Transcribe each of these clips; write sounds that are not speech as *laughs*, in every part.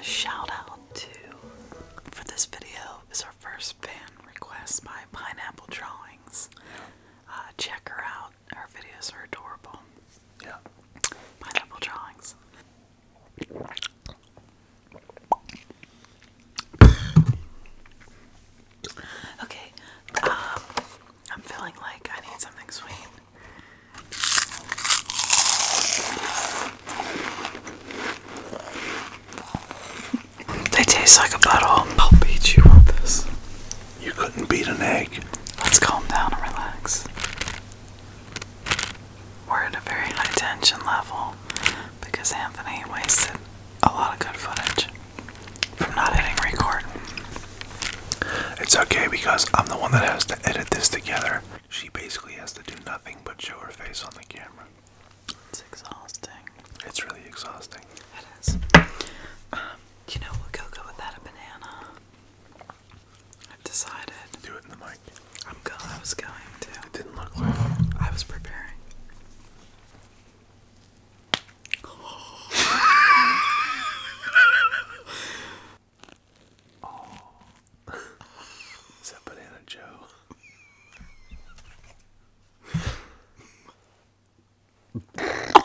shout out to for this video is our first fan request by Pineapple Drawings. Uh, check her out; her videos are adorable. Yeah. Pineapple drawings. okay. Um, I'm feeling like I need something sweet. They taste like a butthole. I'll beat this. You couldn't beat an egg. Let's calm down and relax. We're at a very high tension level because Anthony wasted a lot of good footage from not hitting record. It's okay because I'm the one that has to edit this together. She basically has to do nothing but show her face on the camera. It's exhausting. It's really exhausting. It is. Um, you know what we'll A banana. I decided. Do it in the mic. I'm going. I was going to. It didn't look like I was preparing. oh. *laughs* Is that Banana Joe? *laughs*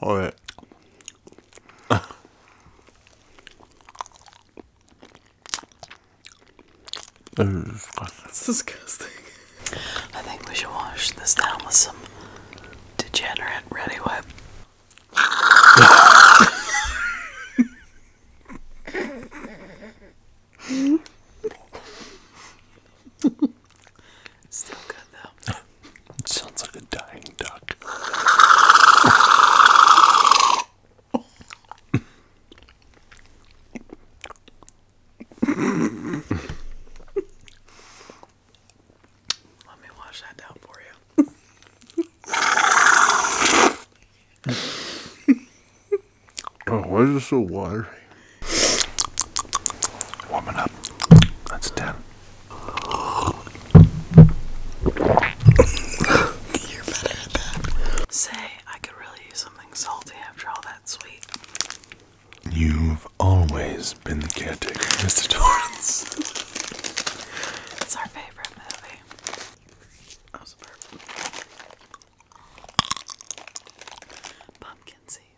All right. That's disgusting. I think we should wash this down with some degenerate ready whip. *laughs* Still good though. *laughs* Sounds like a dying duck. Let me wash that down for you. *laughs* Oh, why is it so watery? Warming up. That's 10. You're better at that. Say, I could really use something salty after all that sweet. You've always been the caretaker, Mr. Torrance. it's our favorite movie. That was a Pumpkin seeds.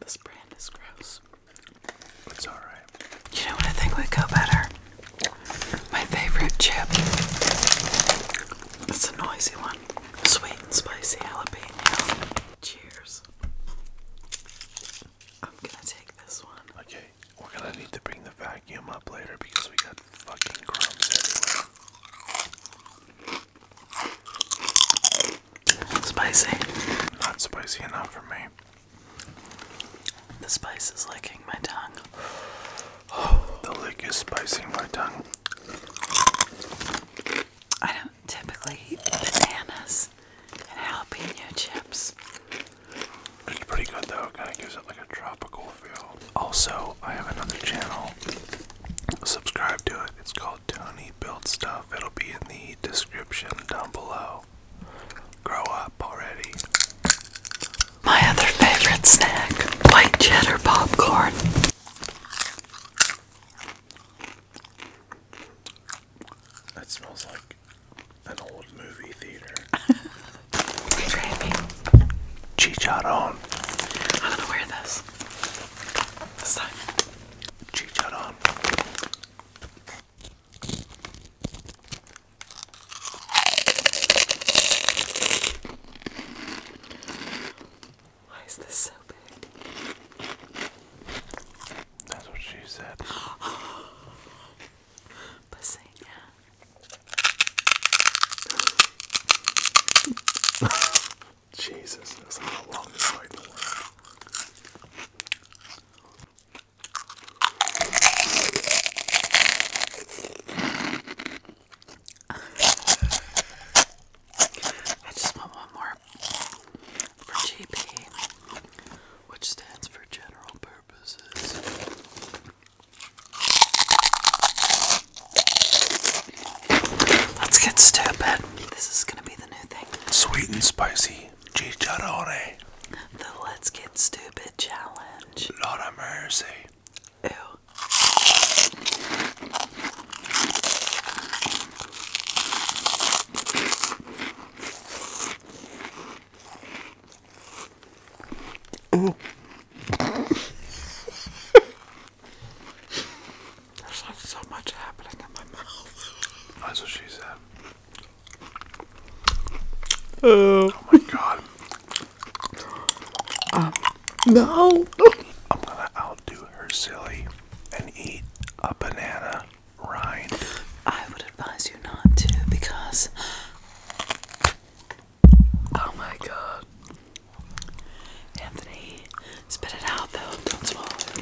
This brand is gross. It's alright. You know what I think would go better? My favorite chip. It's a noisy one. Sweet and spicy jalapeno. Cheers. I'm gonna take this one. Okay. We're gonna need to bring the vacuum up later because we got fucking crumbs everywhere. Spicy. Not spicy enough for me. The spice is licking my tongue. the lick is spicy my tongue. I don't typically eat bananas and jalapeno chips. It's pretty good though, it kind of gives it like a tropical feel. Also, I have another channel. Subscribe to it. It's called Tony Build Stuff. It'll be in the description down below. Grow up already. My other favorite snack white cheddar popcorn. It smells like an old movie theater. Trippy. *laughs* Chicharron. I'm gonna wear this. This time. Chicharron. Why is this so big? That's what she said. Pussy, *gasps* *laughs* Jesus, that's not the longest I just want one more for GP, which stands for General Purposes. Let's get stupid. This is gonna be the new thing. Sweet and spicy chicharrone. The Let's Get Stupid Challenge. Lord of mercy. Ew. Oh. There's like so much happening in my mouth. That's what she said. oh, oh my god. Um, no. I'm gonna outdo her silly and eat a banana rind. I would advise you not to because Oh my god. Anthony, spit it out though. Don't swallow it.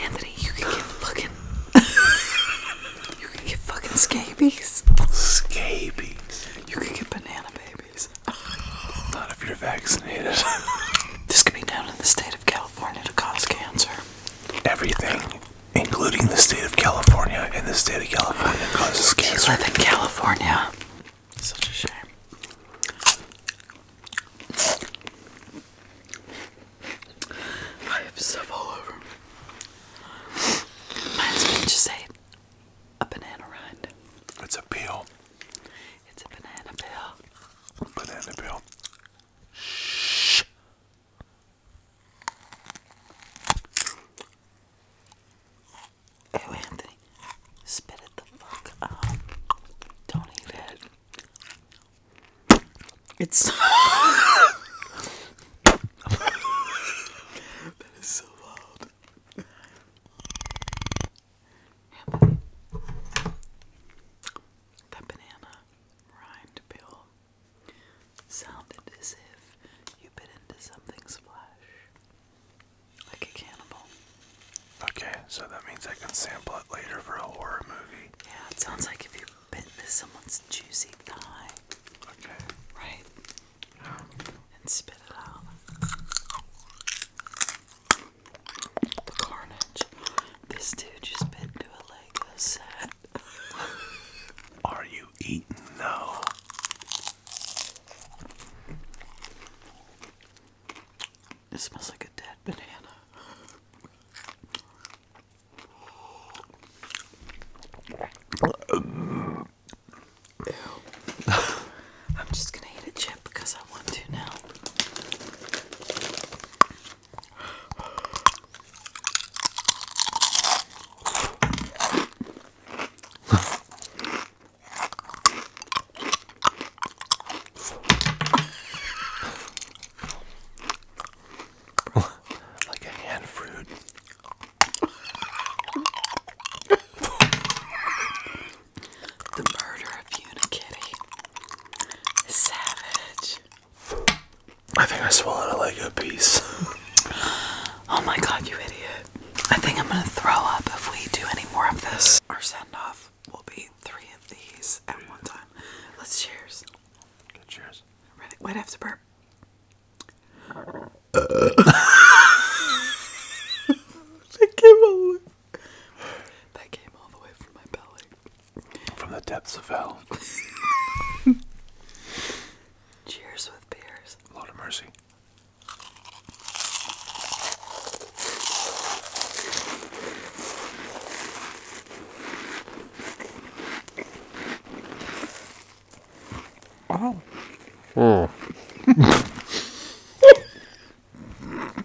Anthony, you can get fucking. you can get fucking scabies. Scabies. You can get banana babies. Not if you're vaccinated. this can be known in the state of California to cause cancer. Everything including the state of California, and the state of California causes Do cancer. You in California. Such a shame. I have stuff all over. mine just say a banana rind. It's a peel. It's a banana peel. Banana peel. Shh. Oh, Anthony, spit it the fuck up. Don't eat it. It's. *laughs* that is so loud. that banana rind pill Sounded as if you bit into something's flesh. Like a cannibal. Okay, so that means I can sample it later for a horror movie. Yeah, it sounds like if you bit into someone's juicy thigh. Okay. Right? And spit it out. carnage. This dude just bit into a leg like *laughs* Are you eating No. It smells like a dead banana. *laughs* I'm just gonna eat a chip because I want to now like a hand fruit. the murder of Unikitty is savage. I think I swallowed a Lego piece. *laughs* oh my god, you idiot. I think I'm gonna throw up if we do any more of this. Our send off will be three of these at one time. Let's cheers. Good cheers. Ready? Wait, I burp. *laughs* that came all That came all the way from my belly. From the depths of hell. *laughs* Cheers with beers. Lord of mercy. Oh. Mm. *laughs*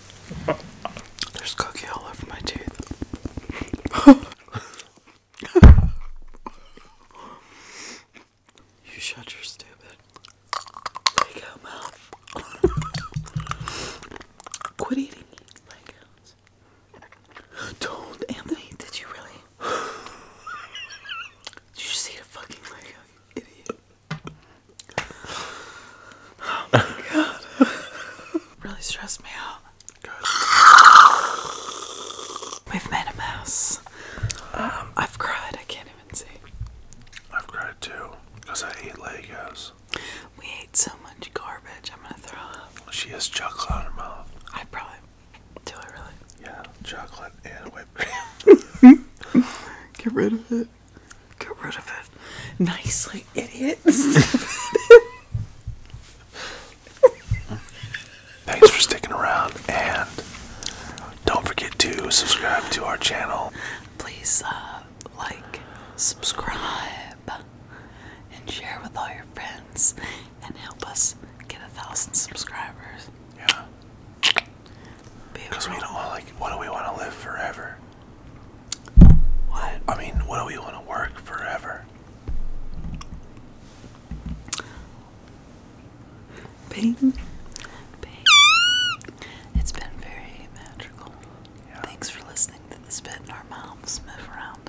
There's cookie all over my teeth. you shut your stupid leg out mouth. Quit eating Legos. do Anthony. Did you really? did you just eat fucking Oh my god. *laughs* really stressed me out. We've made a mess. Um, I've cried. I can't even see. I've cried too because I ate Legos. We ate so much garbage. I'm gonna throw up. She has chocolate on her mouth. I probably do. I really? Yeah, chocolate and whipped cream. *laughs* *laughs* Get rid of it. Get rid of it. Nicely, idiot. *laughs* Thanks for sticking around and don't forget to subscribe to our channel. Please uh, like, subscribe, and share with all your friends and help us get a thousand subscribers. Yeah. Because we don't want, like, what do we want to live forever? I mean, what do we want to work forever? It's been very magical. Thanks for listening to the spit in our mouths move around.